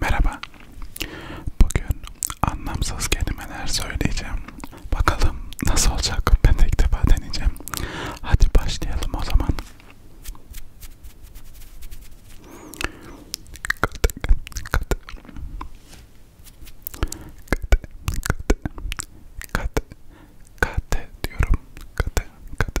Merhaba. Bugün anlamsız kelimeler söyleyeceğim. Bakalım nasıl olacak? Ben de ilk defa deneyeceğim. Hadi başlayalım o zaman. Kat, kat diyorum. Kat, kat,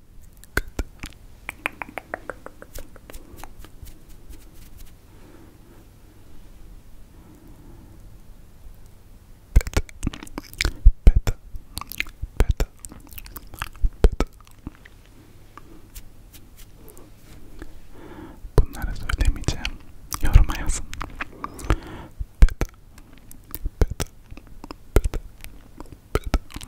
Bunları söylemeyeceğim. Yoruma yazın. Pet, pet, pet, pet, pet,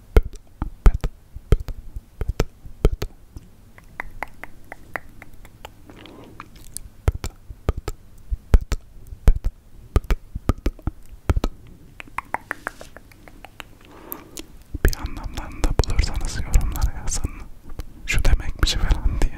pıt pıt pıt pıt pıt bir anlamlarını da bulursanız yorumlara yazın. Şu demekmiş falan diye.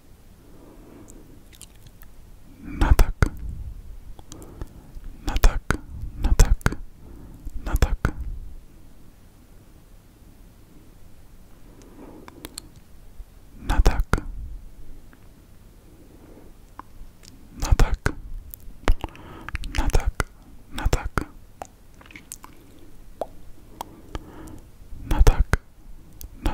Natak, natak, natak, natak, natak, natak, natak, natak, natak, natak. Na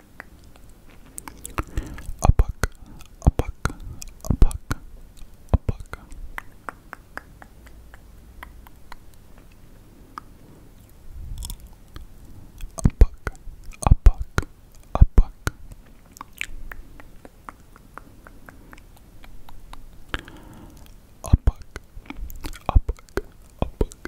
A buck, a buck, a buck, a buck. A buck, a buck, a buck. A buck, a buck, a buck.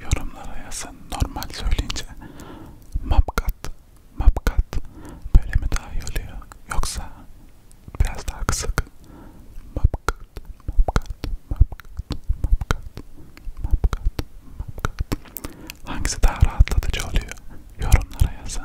Yorumlara yazın. Normal söyleyince mapkat, mapkat böyle mi daha iyi oluyor? Yoksa biraz daha kısık mapkat, mapkat, mapkat, mapkat, mapkat, mapkat. Hangisi daha rahatlatıcı oluyor? Yorumlara yazın.